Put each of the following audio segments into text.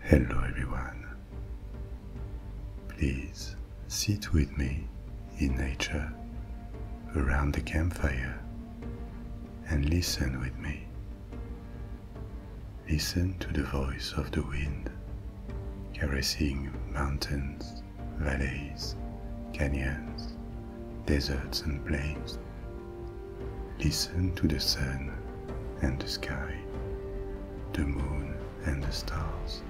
Hello everyone. Please sit with me in nature around the campfire and listen with me. Listen to the voice of the wind caressing mountains, valleys, canyons, deserts, and plains. Listen to the sun and the sky, the moon and the stars,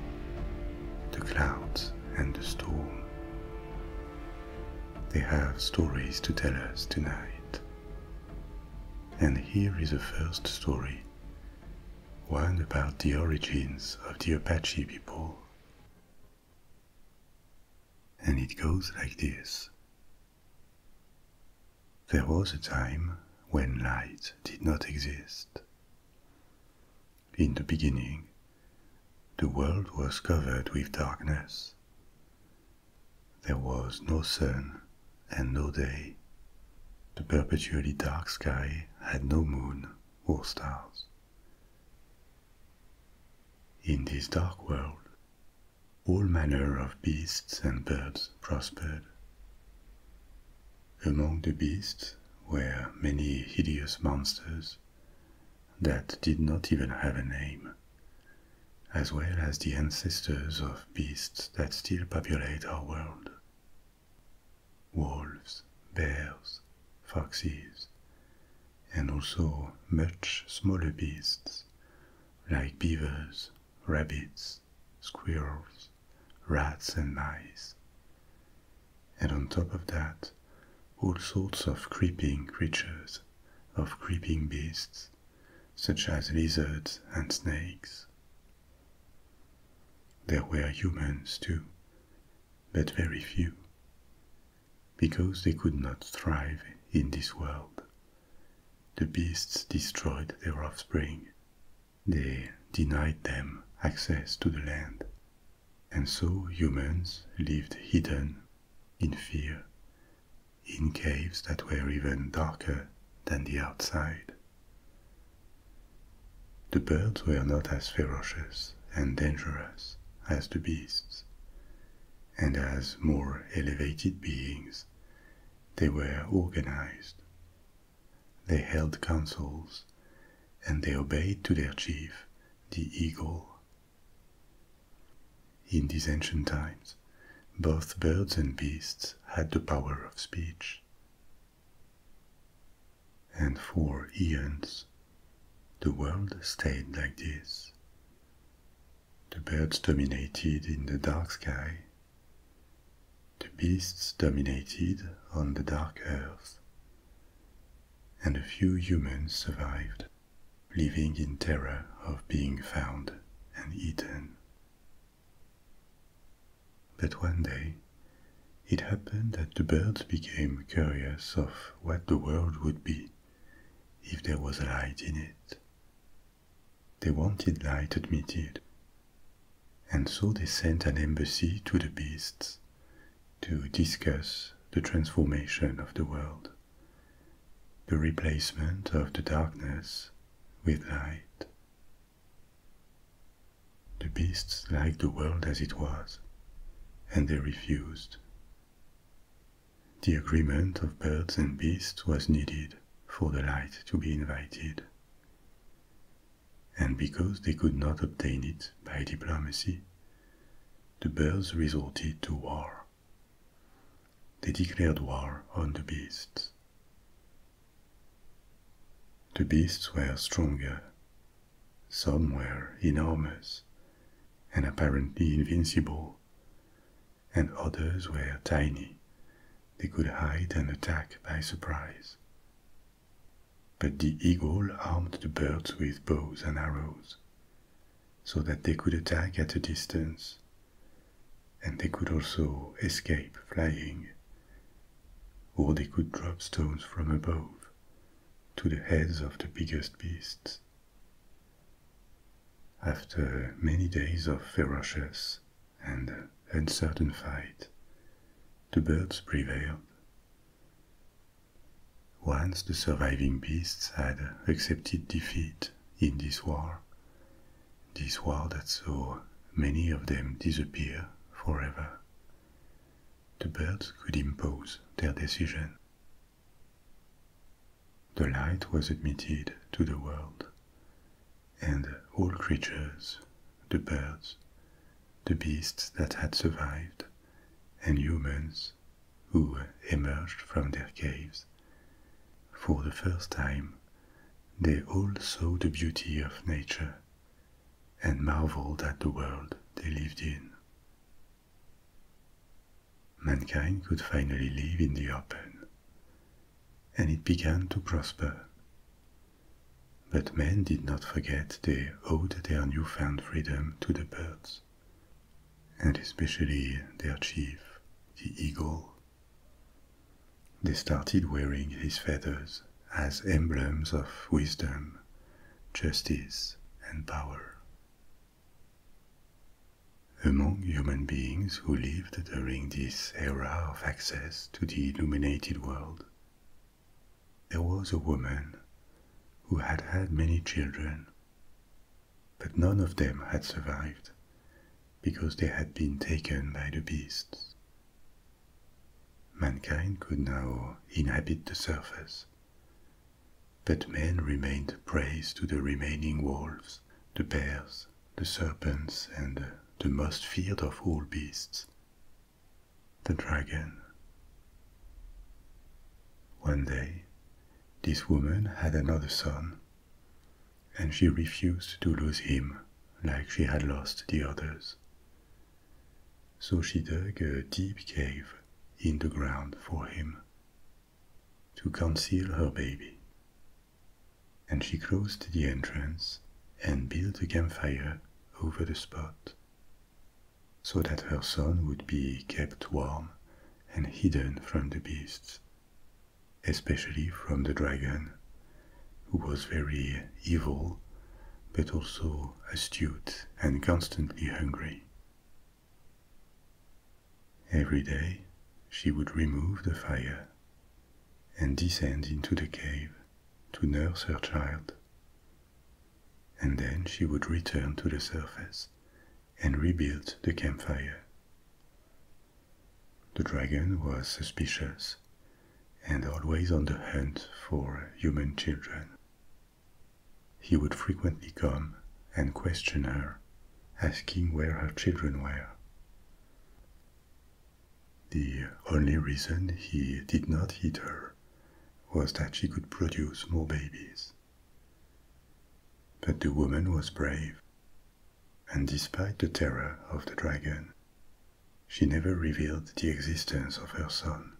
the clouds and the storm. They have stories to tell us tonight. And here is the first story one about the origins of the Apache people. And it goes like this. There was a time when light did not exist. In the beginning, the world was covered with darkness. There was no sun and no day. The perpetually dark sky had no moon or stars. In this dark world, all manner of beasts and birds prospered. Among the beasts were many hideous monsters that did not even have a name, as well as the ancestors of beasts that still populate our world, wolves, bears, foxes, and also much smaller beasts like beavers, rabbits, squirrels, rats, and mice. And on top of that, all sorts of creeping creatures, of creeping beasts, such as lizards and snakes, there were humans too, but very few, because they could not thrive in this world. The beasts destroyed their offspring, they denied them access to the land, and so humans lived hidden, in fear, in caves that were even darker than the outside. The birds were not as ferocious and dangerous as the beasts, and as more elevated beings, they were organized. They held councils, and they obeyed to their chief, the eagle. In these ancient times, both birds and beasts had the power of speech, and for eons, the world stayed like this. The birds dominated in the dark sky. The beasts dominated on the dark earth. And a few humans survived, living in terror of being found and eaten. But one day, it happened that the birds became curious of what the world would be if there was a light in it. They wanted light admitted, and so they sent an embassy to the beasts to discuss the transformation of the world, the replacement of the darkness with light. The beasts liked the world as it was, and they refused. The agreement of birds and beasts was needed for the light to be invited. And because they could not obtain it by diplomacy, the birds resorted to war. They declared war on the beasts. The beasts were stronger some were enormous and apparently invincible, and others were tiny. They could hide and attack by surprise. But the eagle armed the birds with bows and arrows so that they could attack at a distance, and they could also escape flying or they could drop stones from above to the heads of the biggest beasts. After many days of ferocious and uncertain fight, the birds prevailed. Once the surviving beasts had accepted defeat in this war, this war that saw many of them disappear forever, the birds could impose their decision. The light was admitted to the world, and all creatures, the birds, the beasts that had survived, and humans who emerged from their caves, for the first time, they all saw the beauty of nature and marveled at the world they lived in. Mankind could finally live in the open, and it began to prosper. But men did not forget they owed their newfound freedom to the birds, and especially their chief, the eagle. They started wearing his feathers as emblems of wisdom, justice, and power. Among human beings who lived during this era of access to the illuminated world, there was a woman who had had many children, but none of them had survived because they had been taken by the beasts. Mankind could now inhabit the surface. But men remained prey to the remaining wolves, the bears, the serpents, and the most feared of all beasts, the dragon. One day, this woman had another son, and she refused to lose him like she had lost the others so she dug a deep cave in the ground for him to conceal her baby. And she closed the entrance and built a campfire over the spot so that her son would be kept warm and hidden from the beasts, especially from the dragon, who was very evil but also astute and constantly hungry. Every day she would remove the fire and descend into the cave to nurse her child. And then she would return to the surface and rebuild the campfire. The dragon was suspicious and always on the hunt for human children. He would frequently come and question her, asking where her children were. The only reason he did not hit her was that she could produce more babies. But the woman was brave, and despite the terror of the dragon, she never revealed the existence of her son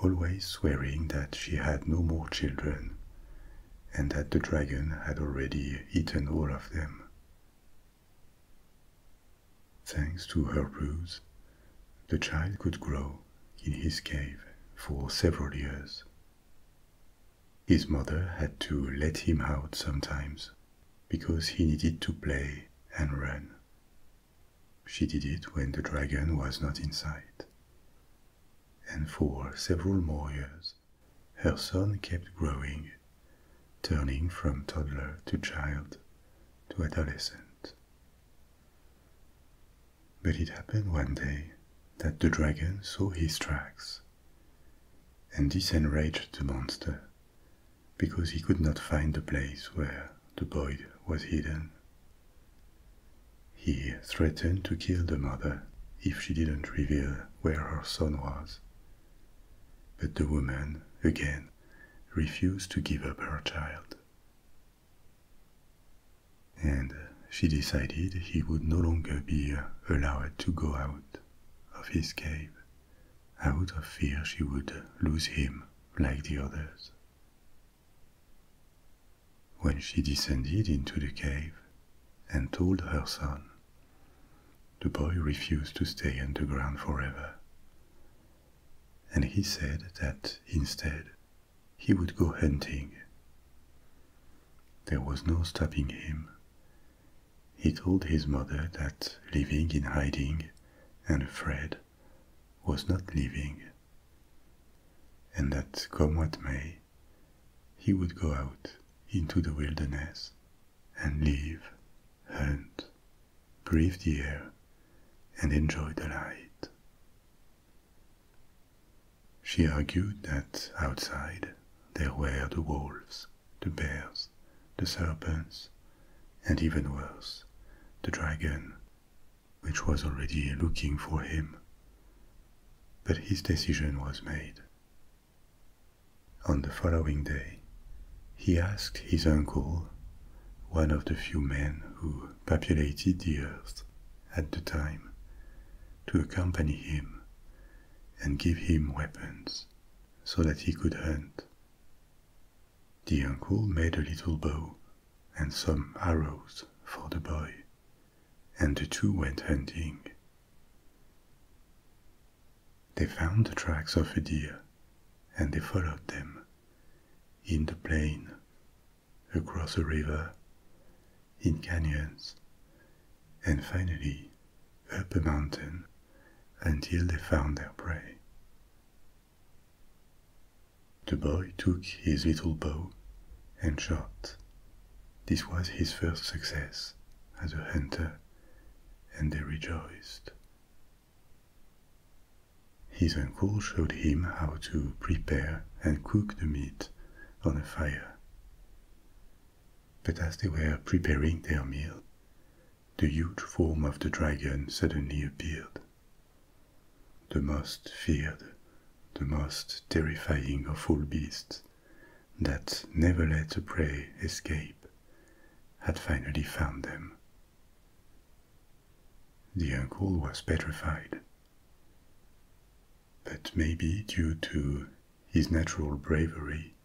always swearing that she had no more children and that the dragon had already eaten all of them. Thanks to her ruse, the child could grow in his cave for several years. His mother had to let him out sometimes because he needed to play and run. She did it when the dragon was not in sight. And for several more years, her son kept growing, turning from toddler to child to adolescent. But it happened one day that the dragon saw his tracks, and this enraged the monster because he could not find the place where the boy was hidden. He threatened to kill the mother if she didn't reveal where her son was. But the woman, again, refused to give up her child. And she decided he would no longer be allowed to go out of his cave, out of fear she would lose him like the others. When she descended into the cave and told her son, the boy refused to stay underground forever. And he said that instead he would go hunting. There was no stopping him. He told his mother that living in hiding and afraid was not living and that come what may, he would go out into the wilderness and live, hunt, breathe the air, and enjoy the light. She argued that outside there were the wolves, the bears, the serpents, and even worse, the dragon which was already looking for him. But his decision was made. On the following day, he asked his uncle, one of the few men who populated the earth at the time, to accompany him and give him weapons so that he could hunt. The uncle made a little bow and some arrows for the boy, and the two went hunting. They found the tracks of a deer, and they followed them in the plain, across a river, in canyons, and finally up a mountain until they found their prey. The boy took his little bow and shot. This was his first success as a hunter, and they rejoiced. His uncle showed him how to prepare and cook the meat on a fire. But as they were preparing their meal, the huge form of the dragon suddenly appeared the most feared, the most terrifying of all beasts that never let a prey escape, had finally found them. The uncle was petrified. But maybe due to his natural bravery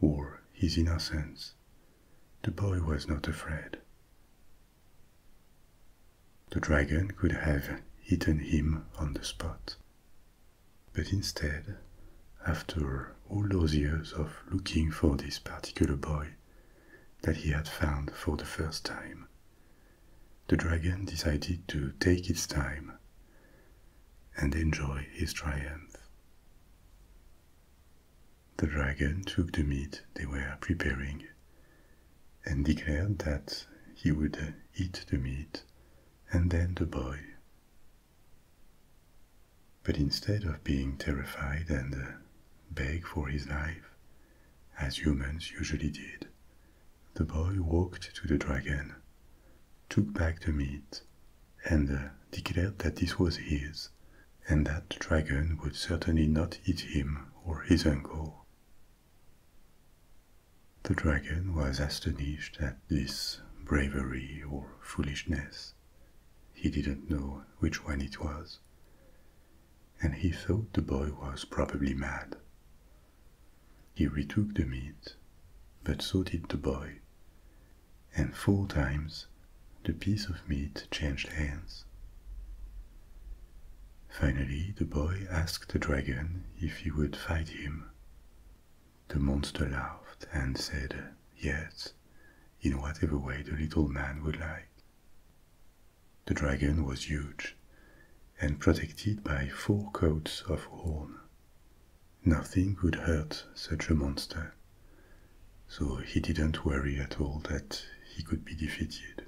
or his innocence, the boy was not afraid. The dragon could have eaten him on the spot. But instead, after all those years of looking for this particular boy that he had found for the first time, the dragon decided to take its time and enjoy his triumph. The dragon took the meat they were preparing and declared that he would eat the meat and then the boy. But instead of being terrified and uh, beg for his life, as humans usually did, the boy walked to the dragon, took back the meat, and uh, declared that this was his, and that the dragon would certainly not eat him or his uncle. The dragon was astonished at this bravery or foolishness. He didn't know which one it was. And he thought the boy was probably mad. He retook the meat, but so did the boy. And four times the piece of meat changed hands. Finally, the boy asked the dragon if he would fight him. The monster laughed and said yes, in whatever way the little man would like. The dragon was huge and protected by four coats of horn. Nothing would hurt such a monster, so he didn't worry at all that he could be defeated.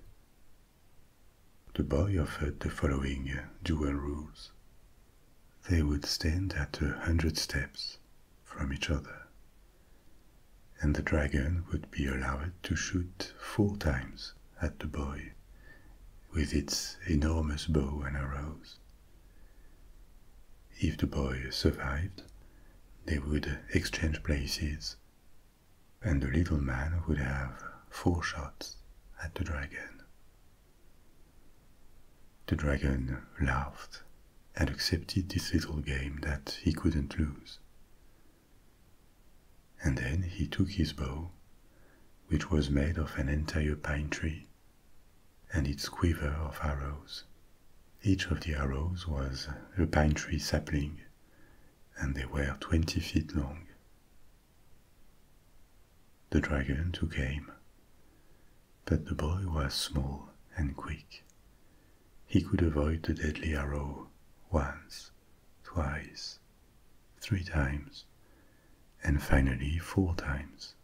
The boy offered the following dual rules. They would stand at a hundred steps from each other, and the dragon would be allowed to shoot four times at the boy with its enormous bow and arrows. If the boy survived, they would exchange places and the little man would have four shots at the dragon. The dragon laughed and accepted this little game that he couldn't lose. And then he took his bow, which was made of an entire pine tree, and its quiver of arrows. Each of the arrows was a pine tree sapling, and they were 20 feet long. The dragon took aim, but the boy was small and quick. He could avoid the deadly arrow once, twice, three times, and finally four times.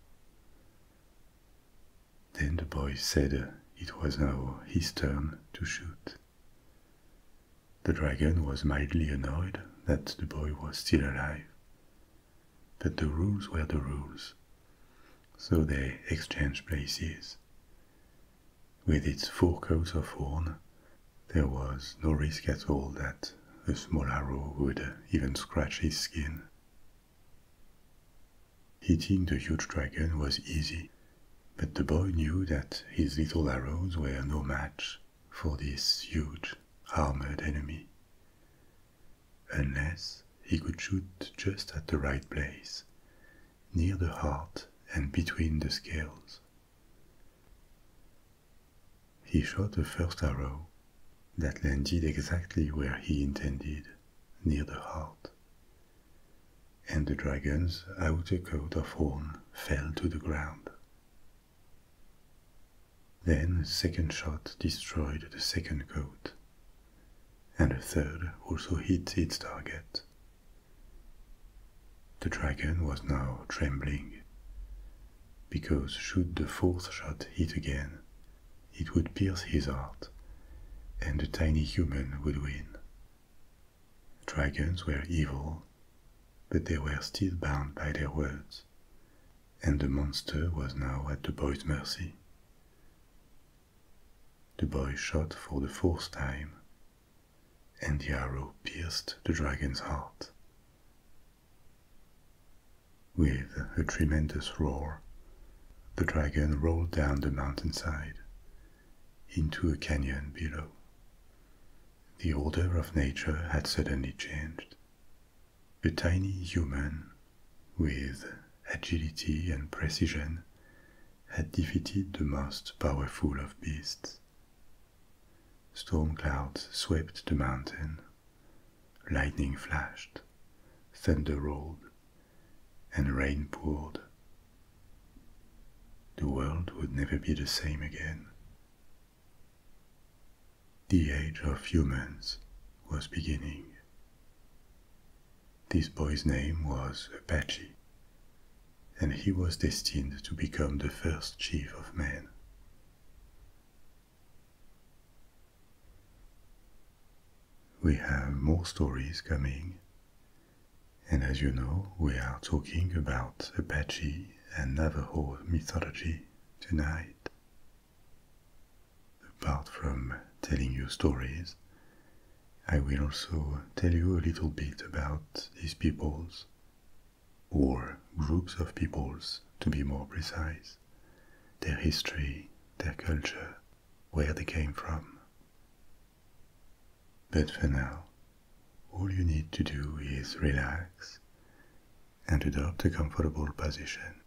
Then the boy said it was now his turn to shoot. The dragon was mildly annoyed that the boy was still alive. But the rules were the rules, so they exchanged places. With its four coat of horn, there was no risk at all that a small arrow would even scratch his skin. Hitting the huge dragon was easy, but the boy knew that his little arrows were no match for this huge armored enemy. Unless he could shoot just at the right place, near the heart and between the scales. He shot the first arrow that landed exactly where he intended, near the heart and the dragon's outer coat of horn fell to the ground. Then a second shot destroyed the second coat, and a third also hit its target. The dragon was now trembling, because should the fourth shot hit again, it would pierce his heart, and the tiny human would win. Dragons were evil, but they were still bound by their words, and the monster was now at the boy's mercy. The boy shot for the fourth time, and the arrow pierced the dragon's heart. With a tremendous roar, the dragon rolled down the mountainside into a canyon below the order of nature had suddenly changed. A tiny human, with agility and precision, had defeated the most powerful of beasts. Storm clouds swept the mountain, lightning flashed, thunder rolled, and rain poured the world would never be the same again. The age of humans was beginning. This boy's name was Apache, and he was destined to become the first chief of men. We have more stories coming, and as you know, we are talking about Apache and Navajo mythology tonight. Apart from telling you stories, I will also tell you a little bit about these peoples, or groups of peoples to be more precise, their history, their culture, where they came from. But for now, all you need to do is relax and adopt a comfortable position.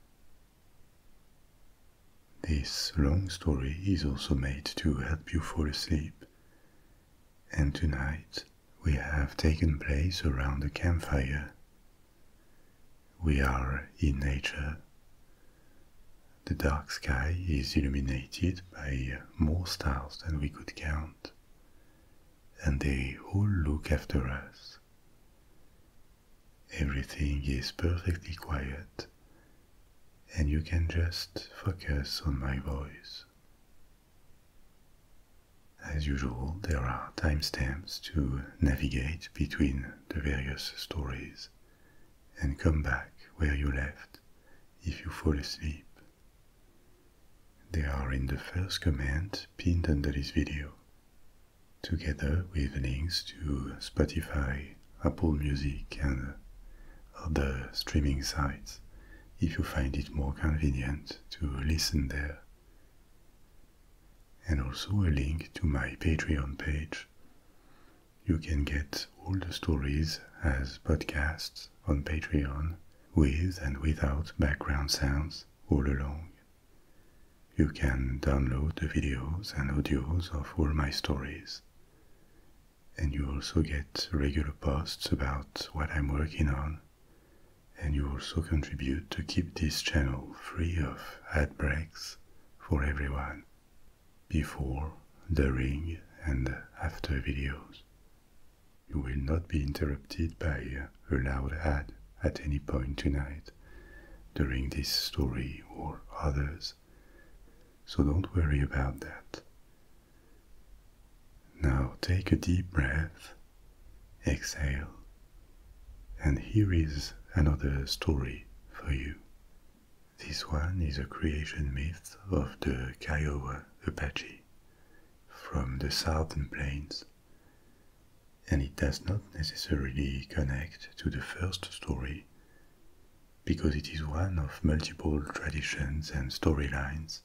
This long story is also made to help you fall asleep, and tonight we have taken place around a campfire. We are in nature. The dark sky is illuminated by more stars than we could count and they all look after us. Everything is perfectly quiet, and you can just focus on my voice. As usual, there are timestamps to navigate between the various stories and come back where you left if you fall asleep they are in the first comment pinned under this video, together with links to Spotify, Apple Music, and other streaming sites if you find it more convenient to listen there. And also a link to my Patreon page. You can get all the stories as podcasts on Patreon with and without background sounds all along. You can download the videos and audios of all my stories. And you also get regular posts about what I'm working on. And you also contribute to keep this channel free of ad breaks for everyone before, during, and after videos. You will not be interrupted by a loud ad at any point tonight during this story or others, so don't worry about that. Now take a deep breath, exhale, and here is another story for you. This one is a creation myth of the Kiowa Apache from the southern plains, and it does not necessarily connect to the first story because it is one of multiple traditions and storylines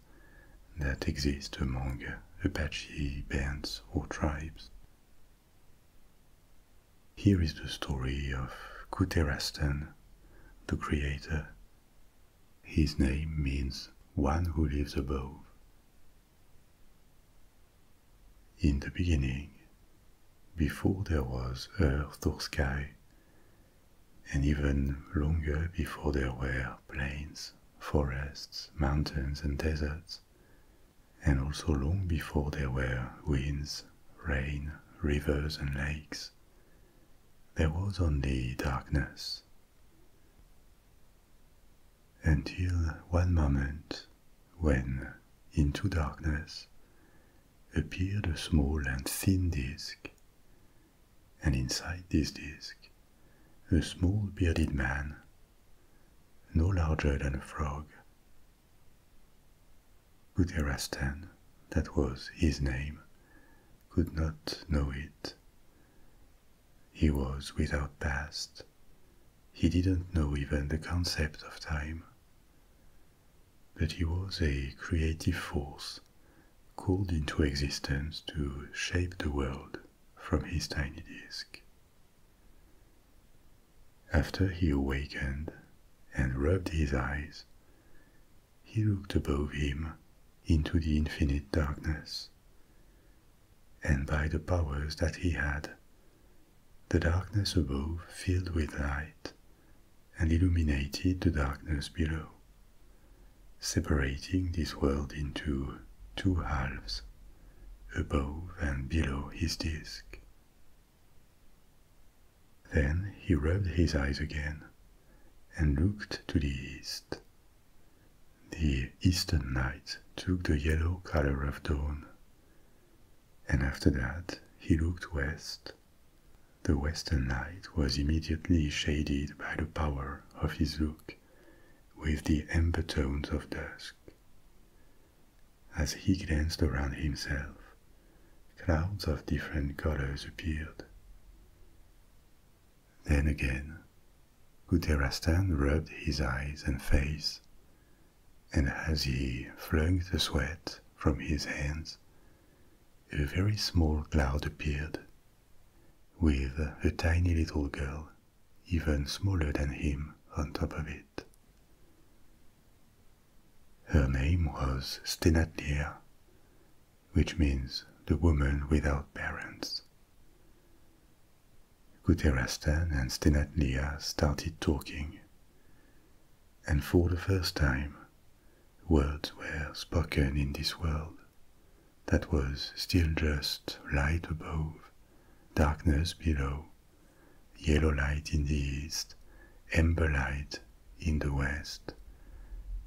that exist among Apache bands or tribes. Here is the story of Kuterastan, the creator, his name means one who lives above. In the beginning, before there was earth or sky, and even longer before there were plains, forests, mountains, and deserts, and also long before there were winds, rain, rivers, and lakes, there was only darkness until one moment when, into darkness, appeared a small and thin disk, and inside this disk, a small bearded man, no larger than a frog. Guterastan, that was his name, could not know it, he was without past. He didn't know even the concept of time. But he was a creative force called into existence to shape the world from his tiny disk. After he awakened and rubbed his eyes, he looked above him into the infinite darkness and by the powers that he had. The darkness above filled with light and illuminated the darkness below, separating this world into two halves, above and below his disk. Then he rubbed his eyes again and looked to the east, the eastern light took the yellow color of dawn, and after that he looked west. The western light was immediately shaded by the power of his look with the amber tones of dusk. As he glanced around himself, clouds of different colors appeared. Then again, Guterastan rubbed his eyes and face, and as he flung the sweat from his hands, a very small cloud appeared, with a tiny little girl, even smaller than him, on top of it. Her name was Stenatlir, which means the woman without parents. Guterastan and Stenatlia started talking, and for the first time, words were spoken in this world that was still just light above, darkness below, yellow light in the east, amber light in the west,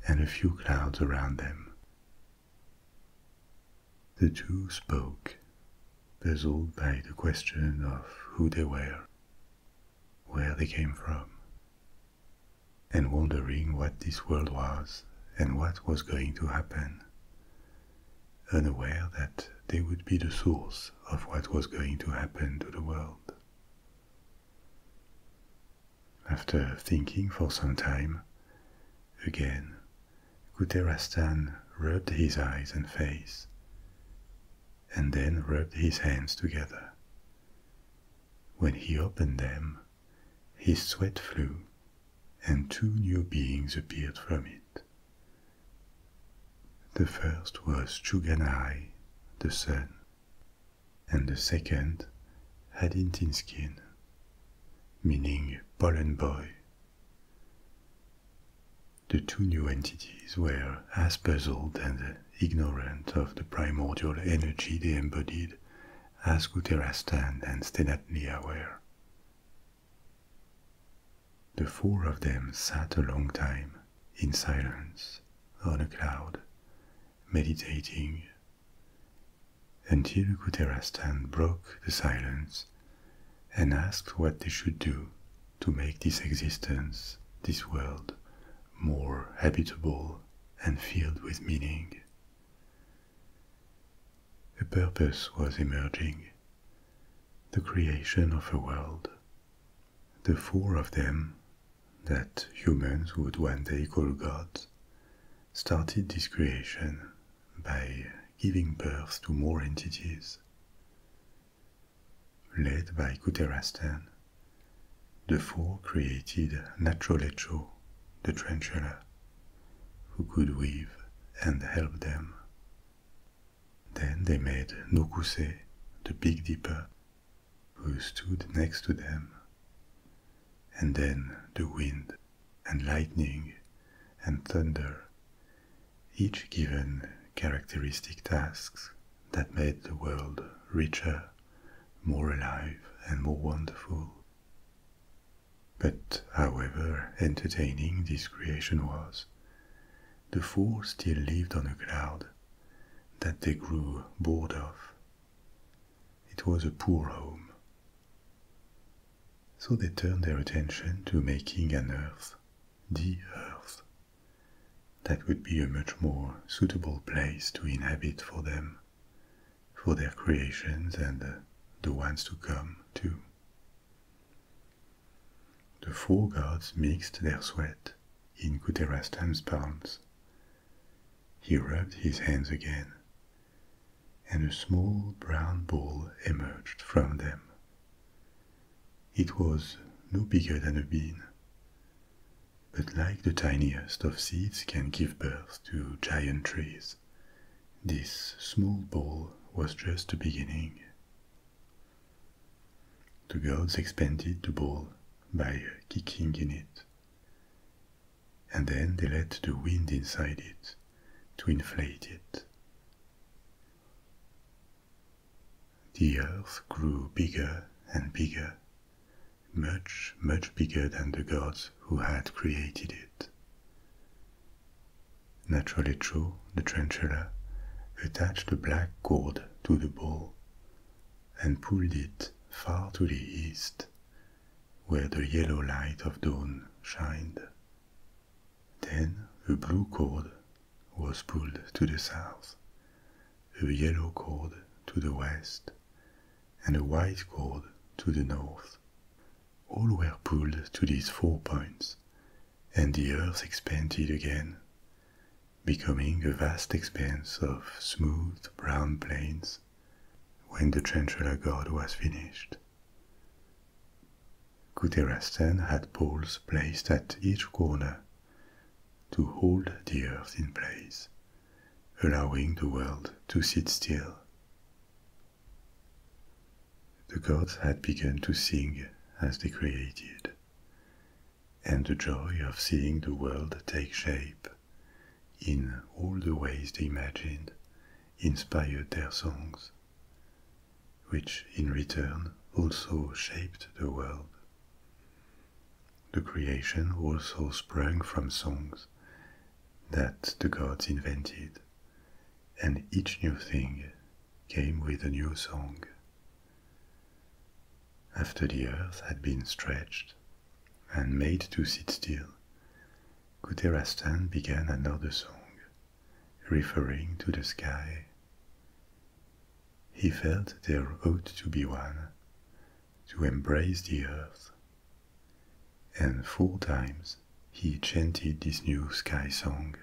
and a few clouds around them. The two spoke, puzzled by the question of who they were, where they came from, and wondering what this world was and what was going to happen, unaware that they would be the source of what was going to happen to the world. After thinking for some time, Again, Guterastan rubbed his eyes and face, and then rubbed his hands together. When he opened them, his sweat flew, and two new beings appeared from it. The first was Chuganai, the sun, and the second, Hadintinskin, meaning pollen boy. The two new entities were as puzzled and ignorant of the primordial energy they embodied as Guterastan and Stenatlia were. The four of them sat a long time in silence on a cloud, meditating until Guterastan broke the silence and asked what they should do to make this existence, this world, more habitable and filled with meaning. A purpose was emerging the creation of a world. The four of them, that humans would one day call gods, started this creation by giving birth to more entities. Led by Kuterastan, the four created Nacholecho, the tarantula, who could weave and help them. Then they made Nukuse, the big dipper, who stood next to them, and then the wind and lightning and thunder, each given characteristic tasks that made the world richer, more alive, and more wonderful. But however entertaining this creation was, the four still lived on a cloud that they grew bored of. It was a poor home. So they turned their attention to making an earth, the earth, that would be a much more suitable place to inhabit for them, for their creations and uh, the ones to come too. The four gods mixed their sweat in Kuterastam's palms. He rubbed his hands again and a small brown ball emerged from them. It was no bigger than a bean, but like the tiniest of seeds can give birth to giant trees, this small ball was just the beginning. The gods expanded the ball by kicking in it and then they let the wind inside it to inflate it. The earth grew bigger and bigger, much, much bigger than the gods who had created it. Naturally, too, the tarantula, attached a black cord to the ball and pulled it far to the east, where the yellow light of dawn shined then a blue cord was pulled to the south, a yellow cord to the west, and a white cord to the north. All were pulled to these four points, and the earth expanded again, becoming a vast expanse of smooth brown plains when the Chanchala god was finished. Guterastan had poles placed at each corner to hold the earth in place, allowing the world to sit still. The gods had begun to sing as they created, and the joy of seeing the world take shape in all the ways they imagined inspired their songs which in return also shaped the world. The creation also sprung from songs that the gods invented, and each new thing came with a new song. After the earth had been stretched and made to sit still, Guterastan began another song, referring to the sky. He felt there ought to be one, to embrace the earth. And four times he chanted this new sky song.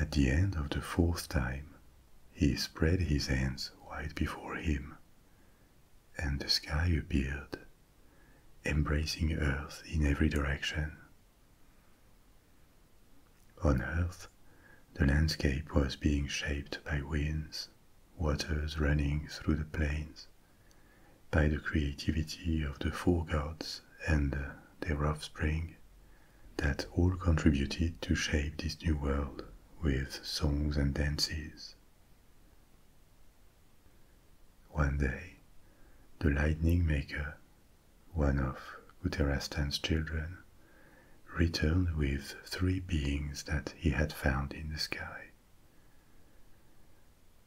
At the end of the fourth time, he spread his hands wide before him, and the sky appeared embracing Earth in every direction. On Earth, the landscape was being shaped by winds, waters running through the plains, by the creativity of the four gods and their Spring, that all contributed to shape this new world with songs and dances. One day, the lightning maker, one of Uterastan's children, returned with three beings that he had found in the sky.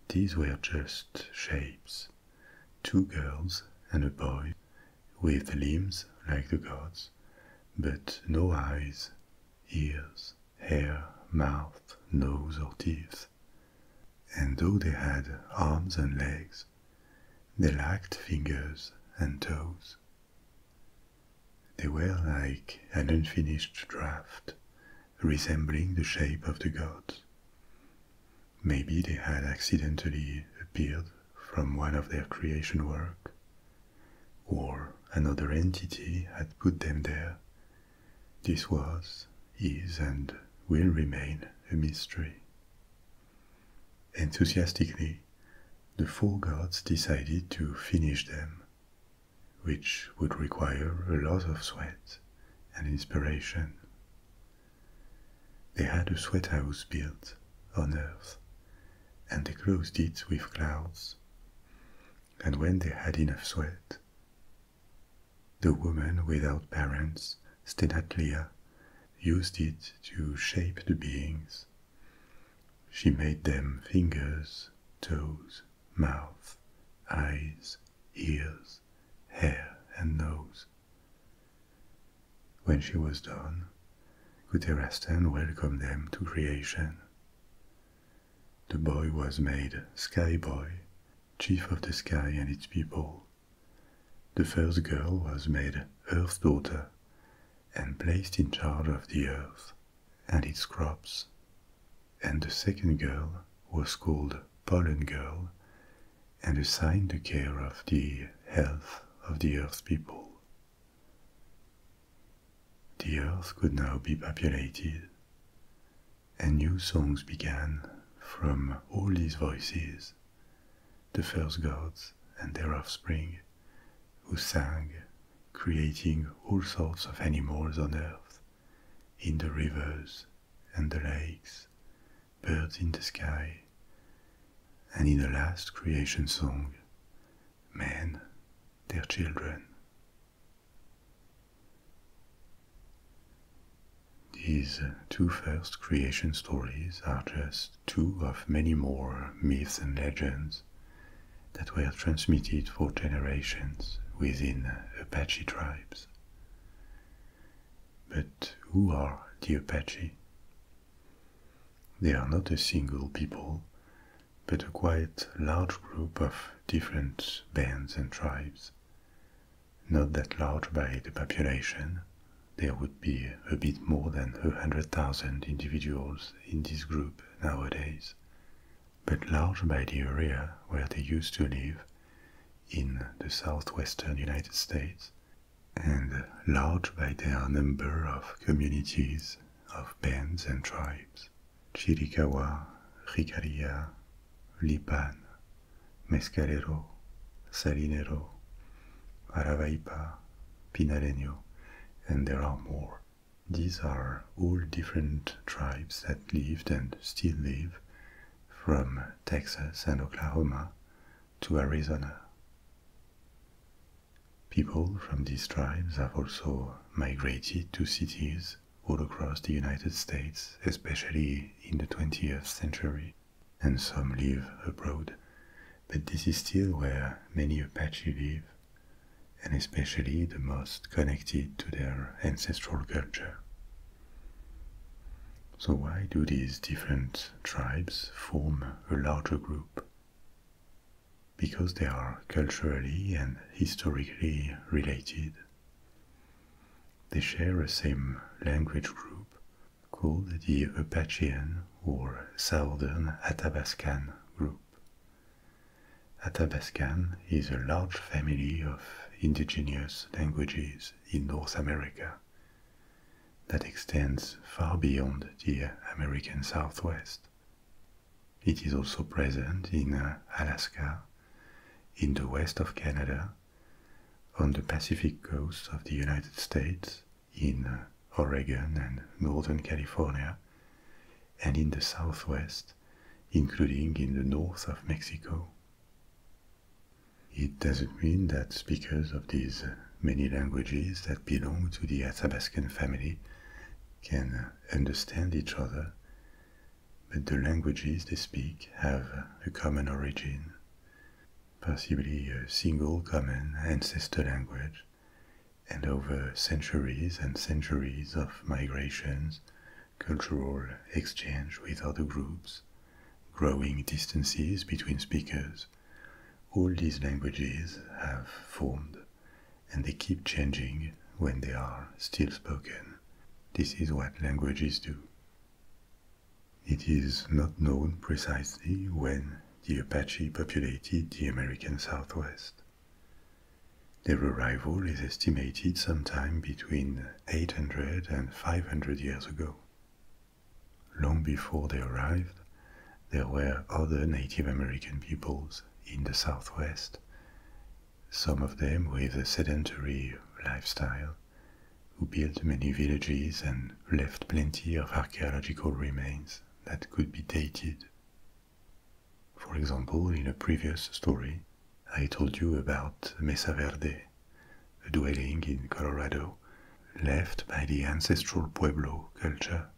These were just shapes, two girls and a boy, with limbs like the gods, but no eyes, ears, hair, mouth, nose, or teeth. And though they had arms and legs, they lacked fingers and toes. They were like an unfinished draft, resembling the shape of the gods. Maybe they had accidentally appeared from one of their creation work, or another entity had put them there this was, is, and will remain a mystery. Enthusiastically, the four gods decided to finish them, which would require a lot of sweat and inspiration. They had a sweat house built on earth, and they closed it with clouds. And when they had enough sweat, the woman without parents, Stenatlia, used it to shape the beings. She made them fingers, toes, mouth, eyes, ears, hair, and nose. When she was done, Guterastan welcomed them to creation. The boy was made Sky Boy, chief of the sky and its people. The first girl was made Earth Daughter and placed in charge of the earth and its crops. And the second girl was called Pollen Girl and assigned the care of the health of the earth people. The earth could now be populated and new songs began from all these voices, the first gods and their offspring, who sang, creating all sorts of animals on earth, in the rivers and the lakes, birds in the sky, and in the last creation song, men, their children. These uh, two first creation stories are just two of many more myths and legends that were transmitted for generations within uh, Apache tribes. But who are the Apache? They are not a single people, but a quite large group of different bands and tribes, not that large by the population. There would be a bit more than 100,000 individuals in this group nowadays, but large by the area where they used to live in the southwestern United States, and large by their number of communities of bands and tribes Chiricahua, Ricaria, Lipan, mezcalero, salinero, aravaipa, pinaleño, and there are more. These are all different tribes that lived and still live from Texas and Oklahoma to Arizona. People from these tribes have also migrated to cities all across the United States, especially in the 20th century, and some live abroad. But this is still where many Apache live, and especially the most connected to their ancestral culture. So, why do these different tribes form a larger group? Because they are culturally and historically related. They share a same language group called the Apachean or Southern Athabascan group. Athabascan is a large family of indigenous languages in North America that extends far beyond the American Southwest. It is also present in uh, Alaska, in the west of Canada, on the Pacific coast of the United States, in uh, Oregon and Northern California, and in the southwest, including in the north of Mexico. It doesn't mean that speakers of these uh, many languages that belong to the Athabaskan family can uh, understand each other but the languages they speak have a common origin, possibly a single common ancestor language, and over centuries and centuries of migrations, cultural exchange with other groups, growing distances between speakers, all these languages have formed and they keep changing when they are still spoken. This is what languages do. It is not known precisely when the Apache populated the American Southwest. Their arrival is estimated sometime between 800 and 500 years ago. Long before they arrived, there were other Native American peoples in the Southwest, some of them with a sedentary lifestyle, who built many villages and left plenty of archaeological remains that could be dated. For example, in a previous story, I told you about Mesa Verde, a dwelling in Colorado left by the ancestral Pueblo culture.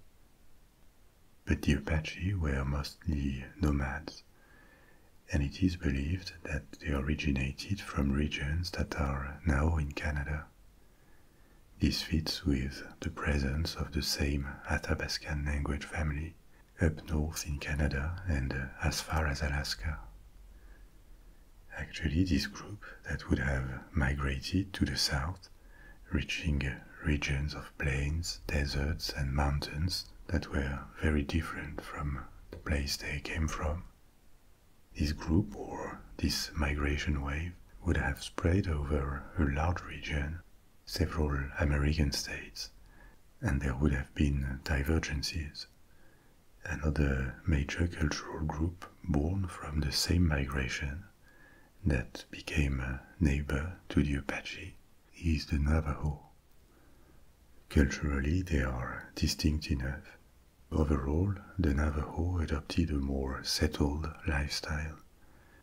But the Apache were mostly nomads and it is believed that they originated from regions that are now in Canada. This fits with the presence of the same Athabaskan language family up north in Canada and as far as Alaska. Actually, this group that would have migrated to the south, reaching regions of plains, deserts, and mountains that were very different from the place they came from, this group or this migration wave would have spread over a large region, several American states, and there would have been divergences. Another major cultural group born from the same migration that became a neighbor to the Apache is the Navajo. Culturally, they are distinct enough. Overall, the Navajo adopted a more settled lifestyle,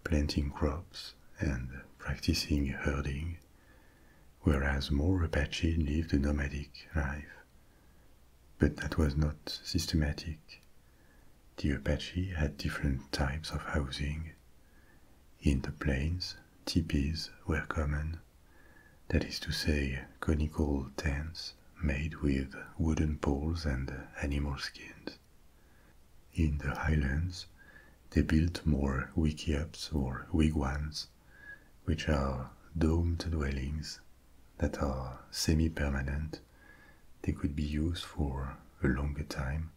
planting crops and practicing herding, whereas more Apache lived a nomadic life. But that was not systematic. The Apache had different types of housing. In the plains, tipis were common, that is to say, conical tents made with wooden poles and animal skins. In the highlands, they built more wikiops or wigwams, which are domed dwellings that are semi-permanent. They could be used for a longer time,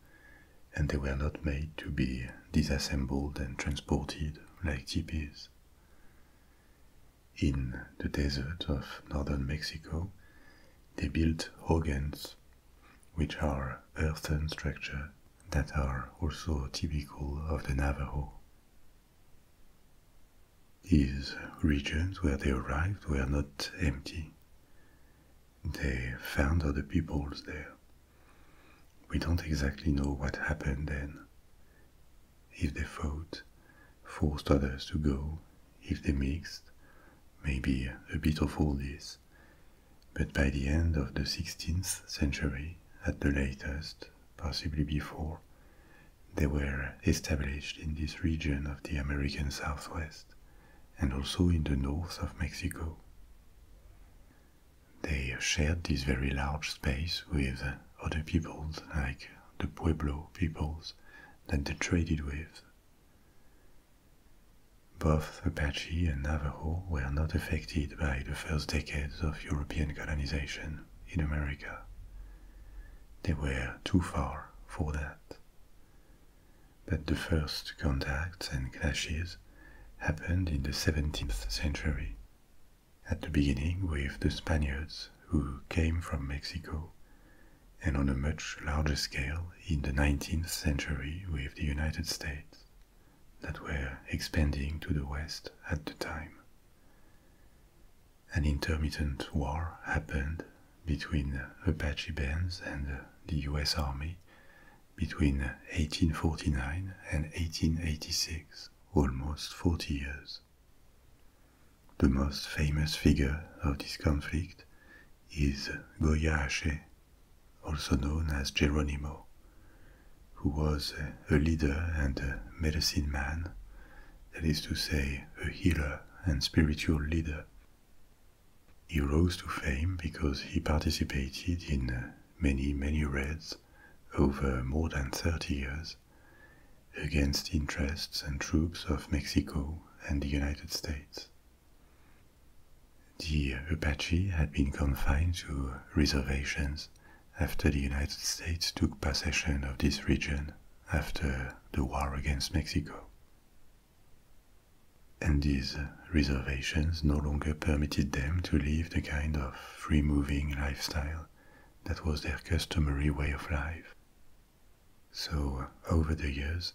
and they were not made to be disassembled and transported like tipis. In the desert of northern Mexico, they built hogans, which are earthen structures that are also typical of the Navajo. These regions where they arrived were not empty. They found other peoples there. We don't exactly know what happened then if they fought, forced others to go, if they mixed, maybe a bit of all this. But by the end of the 16th century, at the latest, possibly before, they were established in this region of the American Southwest and also in the north of Mexico. They shared this very large space with other peoples like the Pueblo peoples that they traded with. Both Apache and Navajo were not affected by the first decades of European colonization in America. They were too far for that. But the first contacts and clashes happened in the 17th century at the beginning with the Spaniards who came from Mexico, and on a much larger scale in the 19th century with the United States that were expanding to the west at the time. An intermittent war happened between Apache bands and the US Army between 1849 and 1886, almost 40 years. The most famous figure of this conflict is Goya Ache, also known as Geronimo, who was a leader and a medicine man, that is to say, a healer and spiritual leader. He rose to fame because he participated in many, many raids over more than 30 years against the interests and troops of Mexico and the United States. The Apache had been confined to reservations after the United States took possession of this region after the war against Mexico. And these reservations no longer permitted them to live the kind of free moving lifestyle that was their customary way of life. So, uh, over the years,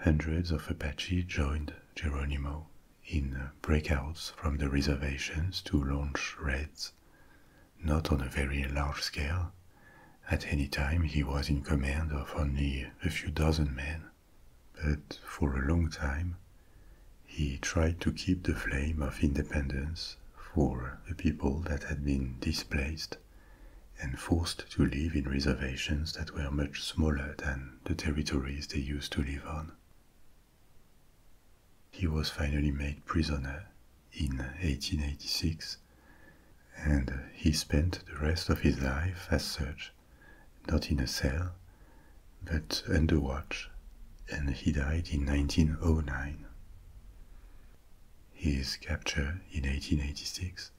hundreds of Apache joined Geronimo in uh, breakouts from the reservations to launch raids, not on a very large scale. At any time, he was in command of only a few dozen men, but for a long time, he tried to keep the flame of independence for the people that had been displaced and forced to live in reservations that were much smaller than the territories they used to live on. He was finally made prisoner in 1886 and he spent the rest of his life as such, not in a cell, but under watch, and he died in 1909 his capture in 1886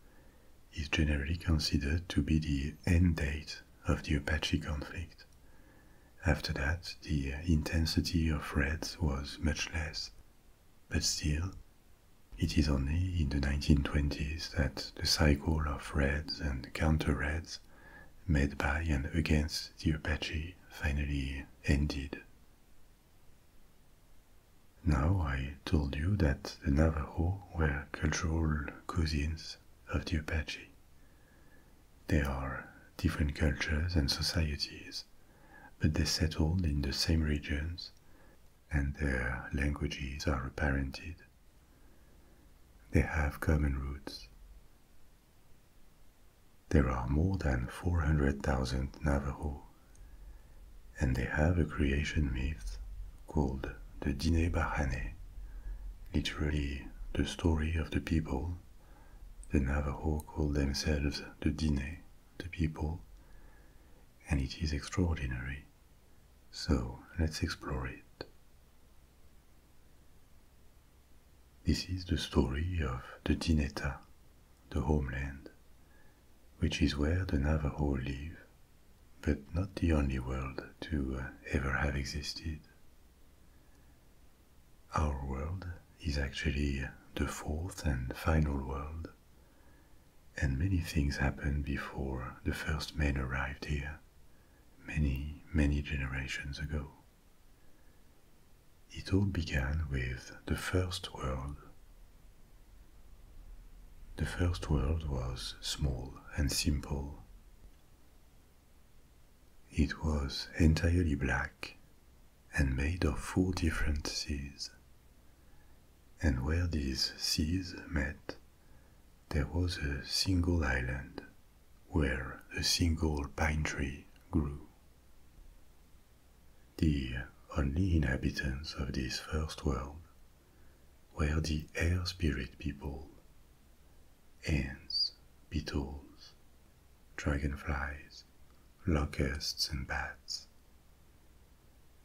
is generally considered to be the end date of the Apache conflict. After that, the intensity of raids was much less, but still, it is only in the 1920s that the cycle of raids and counter-raids made by and against the Apache finally ended now I told you that the Navajo were cultural cousins of the Apache. They are different cultures and societies, but they settled in the same regions and their languages are parented. They have common roots. There are more than 400,000 Navajo, and they have a creation myth called the Dine Barhane, literally the story of the people. The Navajo call themselves the Dine, the people, and it is extraordinary. So let's explore it. This is the story of the Dineta, the homeland, which is where the Navajo live, but not the only world to uh, ever have existed. Our world is actually the fourth and final world, and many things happened before the first men arrived here, many, many generations ago. It all began with the First World. The First World was small and simple. It was entirely black and made of four different seas. And where these seas met, there was a single island where a single pine tree grew. The only inhabitants of this first world were the air spirit people, ants, beetles, dragonflies, locusts, and bats.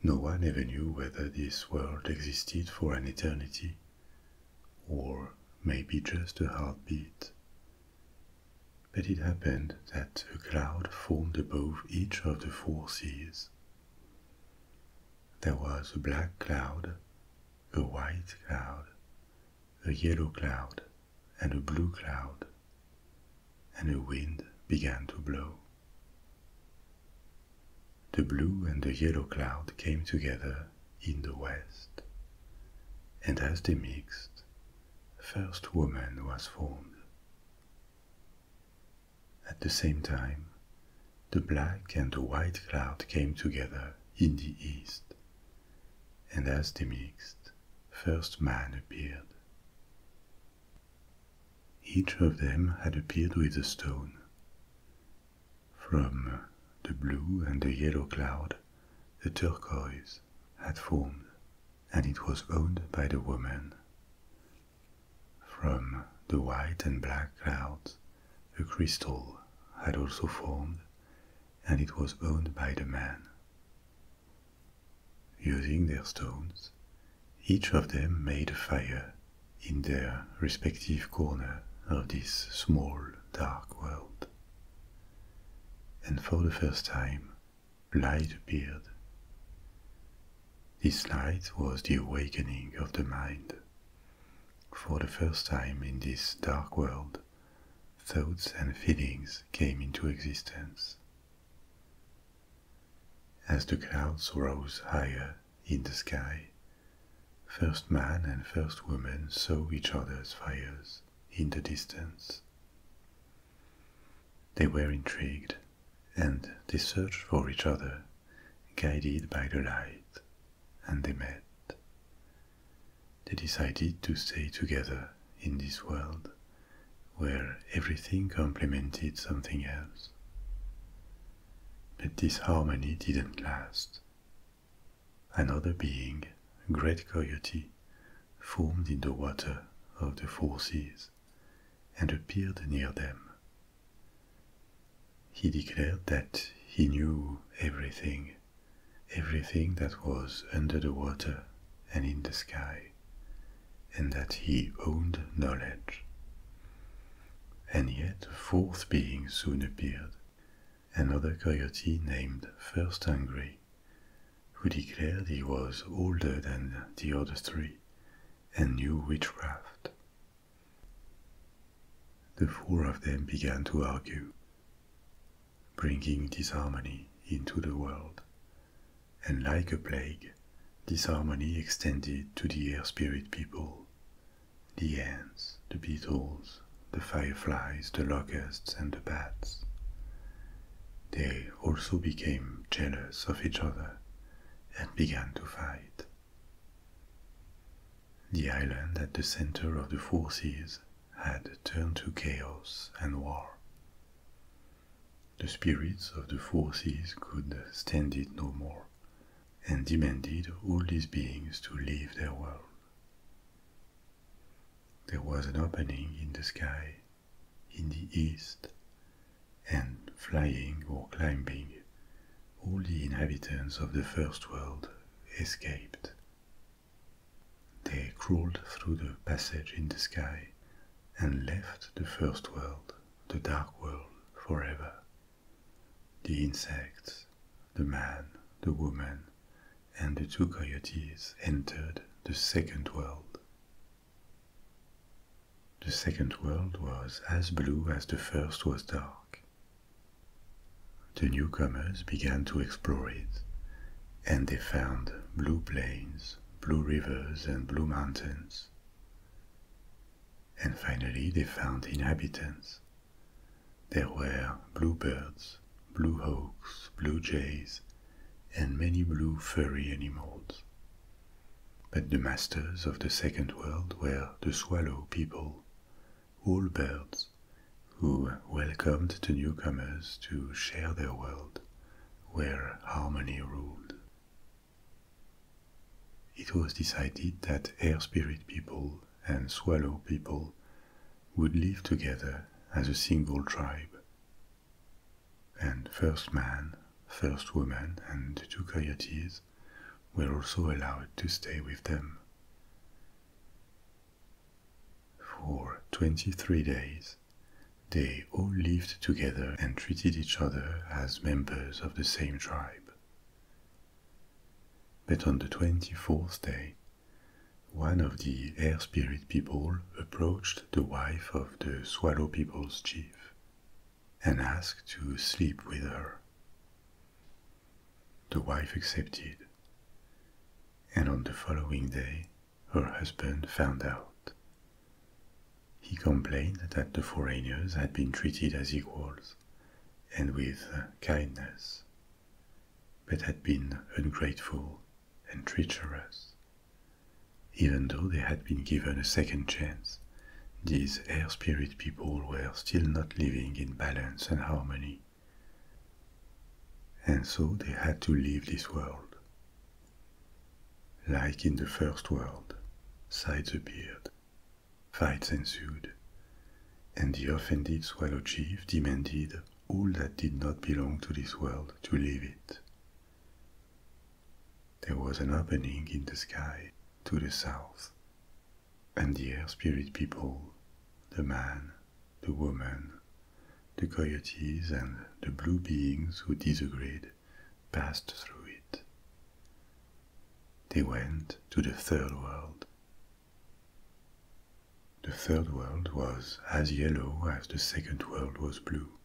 No one ever knew whether this world existed for an eternity, or maybe just a heartbeat. But it happened that a cloud formed above each of the four seas. There was a black cloud, a white cloud, a yellow cloud, and a blue cloud, and a wind began to blow. The blue and the yellow cloud came together in the west, and as they mixed, first woman was formed. At the same time, the black and the white cloud came together in the east, and as they mixed, first man appeared. Each of them had appeared with a stone. From the blue and the yellow cloud, the turquoise had formed and it was owned by the woman. From the white and black clouds, a crystal had also formed, and it was owned by the man. Using their stones, each of them made a fire in their respective corner of this small, dark world. And for the first time, light appeared. This light was the awakening of the mind. For the first time in this dark world, thoughts and feelings came into existence. As the clouds rose higher in the sky, first man and first woman saw each other's fires in the distance. They were intrigued, and they searched for each other, guided by the light, and they met. They decided to stay together in this world where everything complemented something else. But this harmony didn't last. Another being, great coyote, formed in the water of the four seas and appeared near them. He declared that he knew everything, everything that was under the water and in the sky, and that he owned knowledge. And yet a fourth being soon appeared, another coyote named First Hungry, who declared he was older than the other three and knew witchcraft. The four of them began to argue, bringing disharmony into the world, and like a plague, disharmony extended to the air spirit people, the ants, the beetles, the fireflies, the locusts, and the bats. They also became jealous of each other and began to fight. The island at the center of the four seas had turned to chaos and war. The spirits of the four seas could stand it no more and demanded all these beings to leave their world. There was an opening in the sky in the east, and flying or climbing, all the inhabitants of the first world escaped. They crawled through the passage in the sky and left the first world, the dark world, forever. The insects, the man, the woman, and the two coyotes entered the second world, the second world was as blue as the first was dark. The newcomers began to explore it, and they found blue plains, blue rivers, and blue mountains. And finally, they found inhabitants. There were blue birds, blue hawks, blue jays, and many blue furry animals. But the masters of the second world were the swallow people, all birds, who welcomed the newcomers to share their world, where harmony ruled. It was decided that air spirit people and swallow people would live together as a single tribe, and first man, first woman, and the two coyotes were also allowed to stay with them. For 23 days, they all lived together and treated each other as members of the same tribe. But on the 24th day, one of the air spirit people approached the wife of the Swallow people's chief, and asked to sleep with her. The wife accepted, and on the following day her husband found out. He complained that the foreigners had been treated as equals and with kindness, but had been ungrateful and treacherous. Even though they had been given a second chance, these air spirit people were still not living in balance and harmony. And so they had to leave this world. Like in the first world, sides appeared, fights ensued, and the offended Swallow Chief demanded all that did not belong to this world to leave it there was an opening in the sky to the south, and the air spirit people, the man, the woman, the coyotes, and the blue beings who disagreed passed through it. They went to the third world. The third world was as yellow as the second world was blue,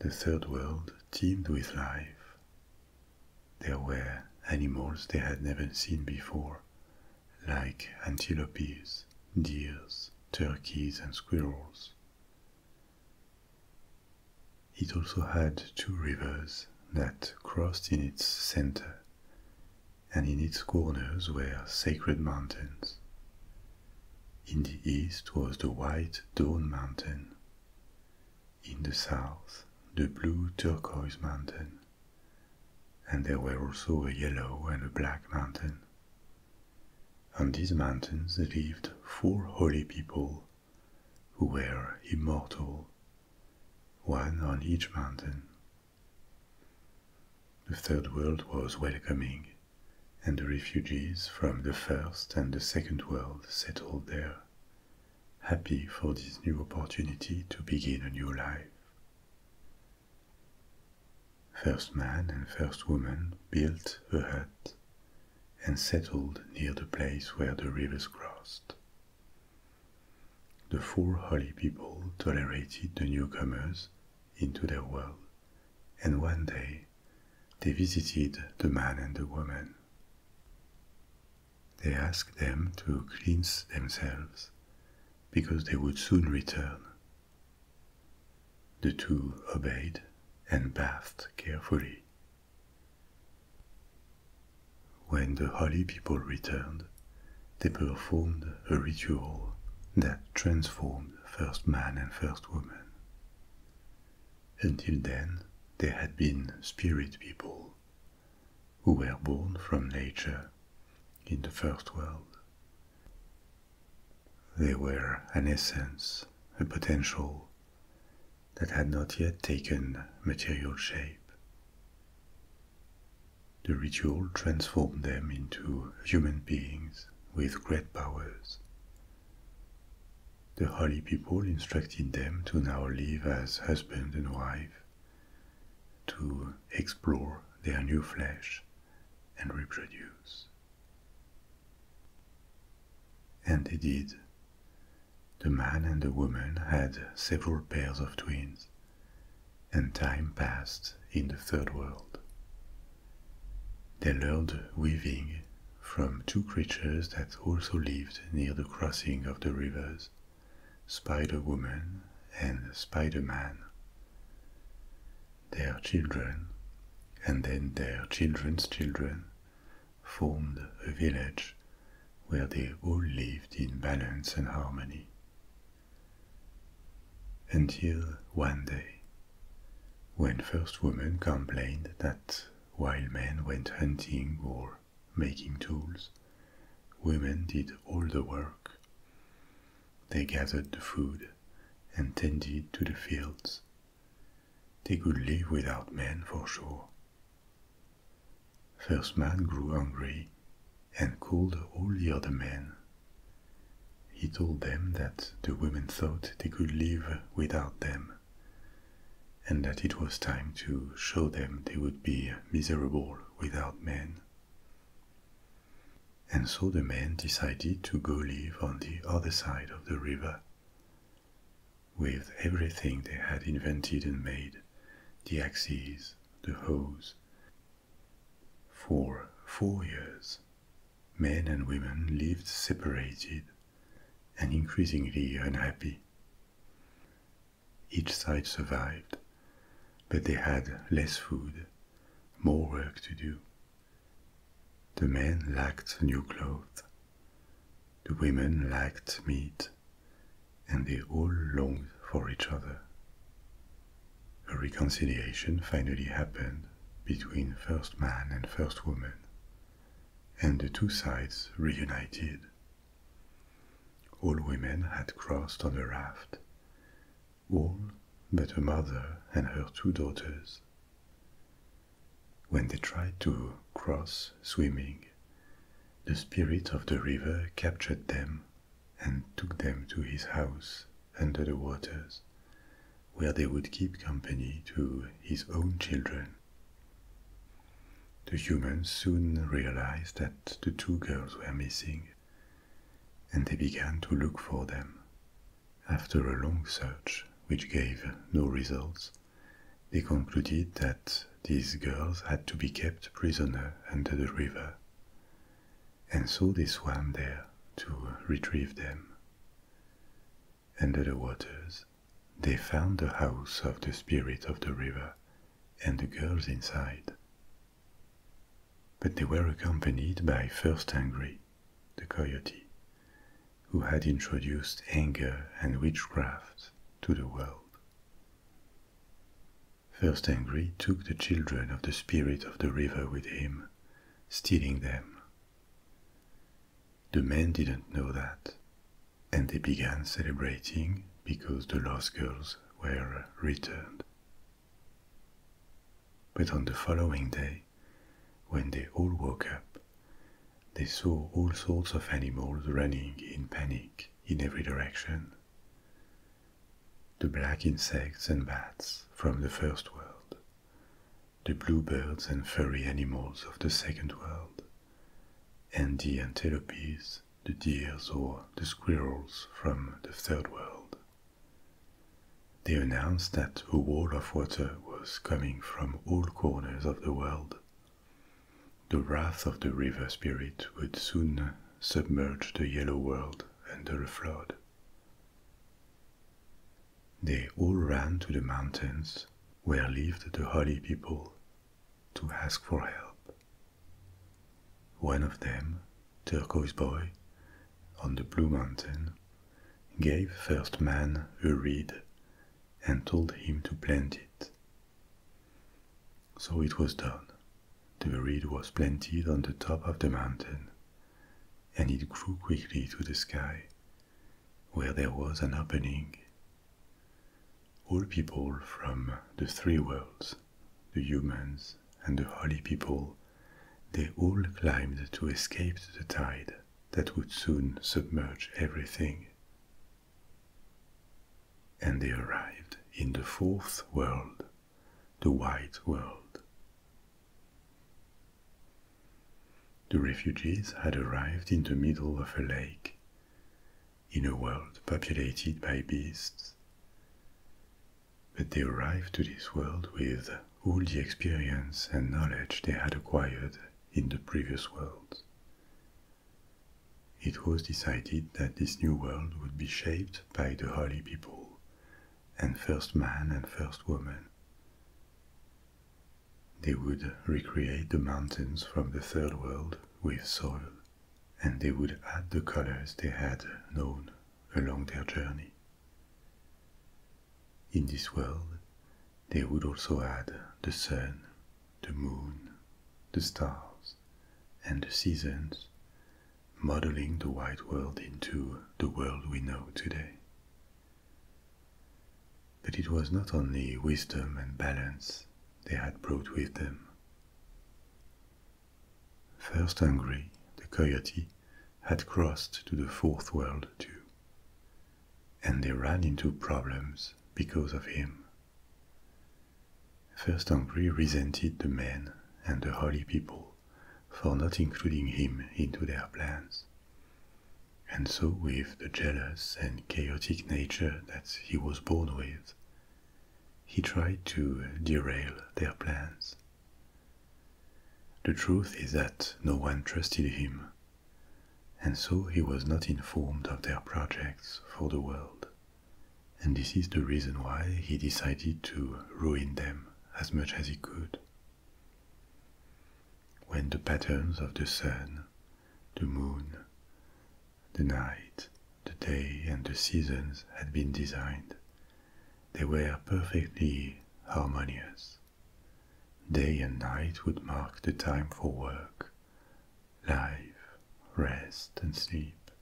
the third world teemed with life. There were animals they had never seen before, like antelopes, deer, turkeys, and squirrels. It also had two rivers that crossed in its center, and in its corners were sacred mountains. In the east was the white Dawn Mountain. In the south, the blue Turquoise Mountain. And there were also a yellow and a black mountain. On these mountains lived four holy people who were immortal, one on each mountain. The third world was welcoming and the refugees from the First and the Second World settled there, happy for this new opportunity to begin a new life. First man and first woman built a hut and settled near the place where the rivers crossed. The four holy people tolerated the newcomers into their world and one day they visited the man and the woman. They asked them to cleanse themselves because they would soon return. The two obeyed and bathed carefully. When the holy people returned, they performed a ritual that transformed first man and first woman. Until then, there had been spirit people who were born from nature in the first world. They were an essence, a potential that had not yet taken material shape. The ritual transformed them into human beings with great powers the holy people instructed them to now live as husband and wife, to explore their new flesh and reproduce. And they did. The man and the woman had several pairs of twins, and time passed in the third world, they learned weaving from two creatures that also lived near the crossing of the rivers, Spider Woman and Spider Man. Their children, and then their children's children, formed a village where they all lived in balance and harmony. Until one day, when first women complained that while men went hunting or making tools, women did all the work. They gathered the food and tended to the fields. They could live without men for sure. First man grew angry, and called all the other men he told them that the women thought they could live without them, and that it was time to show them they would be miserable without men. And so the men decided to go live on the other side of the river. With everything they had invented and made, the axes, the hoes. For four years, Men and women lived separated and increasingly unhappy. Each side survived, but they had less food, more work to do. The men lacked new clothes, the women lacked meat, and they all longed for each other. A reconciliation finally happened between first man and first woman, and the two sides reunited. All women had crossed on the raft, all but her mother and her two daughters. When they tried to cross swimming, the spirit of the river captured them and took them to his house under the waters, where they would keep company to his own children. The humans soon realized that the two girls were missing, and they began to look for them. After a long search, which gave no results, they concluded that these girls had to be kept prisoner under the river, and so they swam there to retrieve them. Under the waters, they found the house of the spirit of the river and the girls inside. But they were accompanied by First Angry, the coyote, who had introduced anger and witchcraft to the world. First Angry took the children of the spirit of the river with him, stealing them. The men didn't know that, and they began celebrating because the lost girls were returned. But on the following day, when they all woke up, they saw all sorts of animals running in panic in every direction. The black insects and bats from the first world, the bluebirds and furry animals of the second world, and the antelopes, the deers, or the squirrels from the third world. They announced that a wall of water was coming from all corners of the world. The wrath of the river spirit would soon submerge the yellow world under a flood. They all ran to the mountains where lived the holy people to ask for help. One of them, Turquoise Boy, on the Blue Mountain, gave First Man a reed and told him to plant it. So it was done. The reed was planted on the top of the mountain, and it grew quickly to the sky where there was an opening. All people from the three worlds, the humans and the holy people, they all climbed to escape the tide that would soon submerge everything. And they arrived in the fourth world, the white world. The refugees had arrived in the middle of a lake, in a world populated by beasts. But they arrived to this world with all the experience and knowledge they had acquired in the previous world. It was decided that this new world would be shaped by the holy people, and first man and first woman. They would recreate the mountains from the Third World with soil, and they would add the colors they had known along their journey. In this world, they would also add the sun, the moon, the stars, and the seasons, modeling the white world into the world we know today. But it was not only wisdom and balance they had brought with them. First hungry, the coyote had crossed to the fourth world too, and they ran into problems because of him. First Hungry resented the men and the holy people for not including him into their plans. And so, with the jealous and chaotic nature that he was born with, he tried to derail their plans. The truth is that no one trusted him, and so he was not informed of their projects for the world. And this is the reason why he decided to ruin them as much as he could. When the patterns of the sun, the moon, the night, the day, and the seasons had been designed, they were perfectly harmonious. Day and night would mark the time for work, life, rest, and sleep.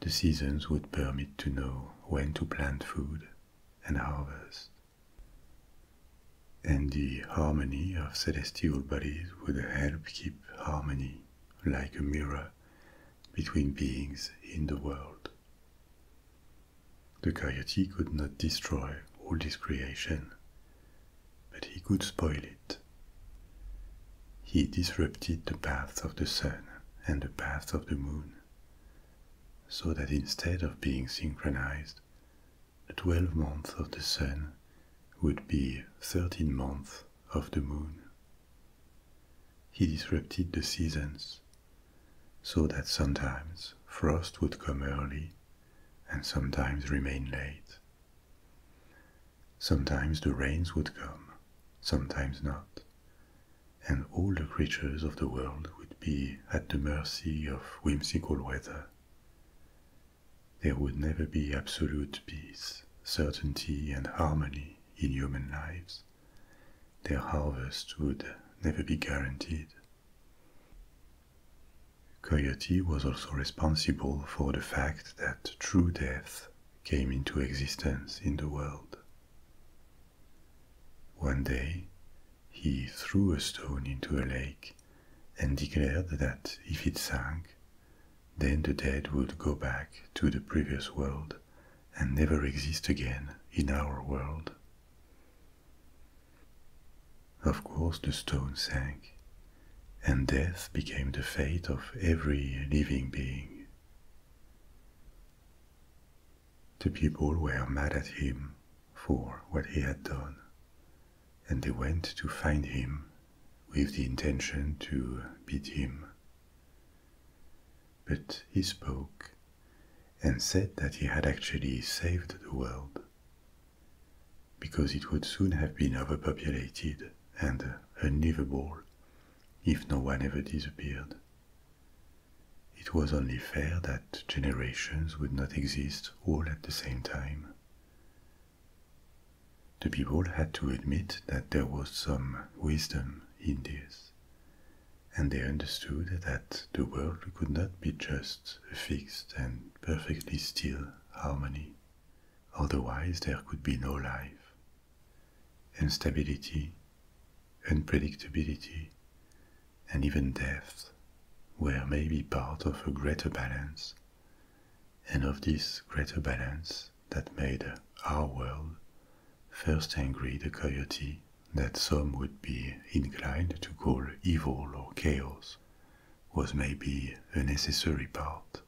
The seasons would permit to know when to plant food and harvest, and the harmony of celestial bodies would help keep harmony, like a mirror, between beings in the world. The coyote could not destroy all this creation, but he could spoil it. He disrupted the path of the sun and the path of the moon, so that instead of being synchronized, 12 months of the sun would be 13 months of the moon. He disrupted the seasons so that sometimes frost would come early and sometimes remain late. Sometimes the rains would come, sometimes not, and all the creatures of the world would be at the mercy of whimsical weather. There would never be absolute peace, certainty, and harmony in human lives. Their harvest would never be guaranteed. Coyote was also responsible for the fact that true death came into existence in the world. One day, he threw a stone into a lake and declared that if it sank, then the dead would go back to the previous world and never exist again in our world. Of course, the stone sank, and death became the fate of every living being. The people were mad at him for what he had done and they went to find him with the intention to beat him. But he spoke and said that he had actually saved the world because it would soon have been overpopulated and unlivable if no one ever disappeared. It was only fair that generations would not exist all at the same time. The people had to admit that there was some wisdom in this, and they understood that the world could not be just a fixed and perfectly still harmony, otherwise there could be no life. Instability, unpredictability, and even death were maybe part of a greater balance, and of this greater balance that made our world first angry the coyote that some would be inclined to call evil or chaos was maybe a necessary part.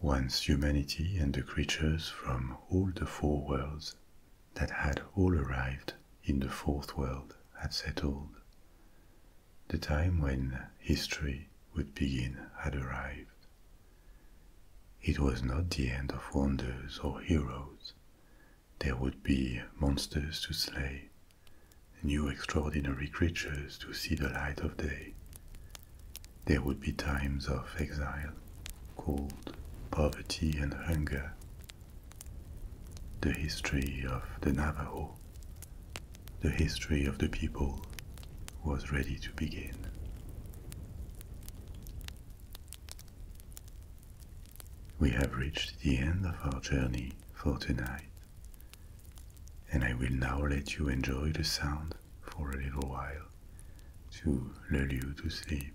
Once humanity and the creatures from all the four worlds that had all arrived in the fourth world had settled. The time when history would begin had arrived. It was not the end of wonders or heroes. There would be monsters to slay, new extraordinary creatures to see the light of day. There would be times of exile, cold, poverty, and hunger the history of the Navajo, the history of the people, was ready to begin. We have reached the end of our journey for tonight, and I will now let you enjoy the sound for a little while to lull you to sleep.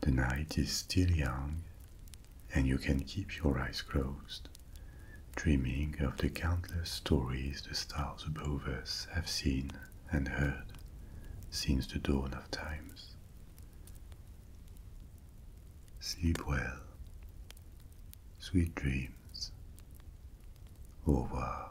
The night is still young, and you can keep your eyes closed, dreaming of the countless stories the stars above us have seen and heard since the dawn of times. Sleep well. Sweet dreams. Au revoir.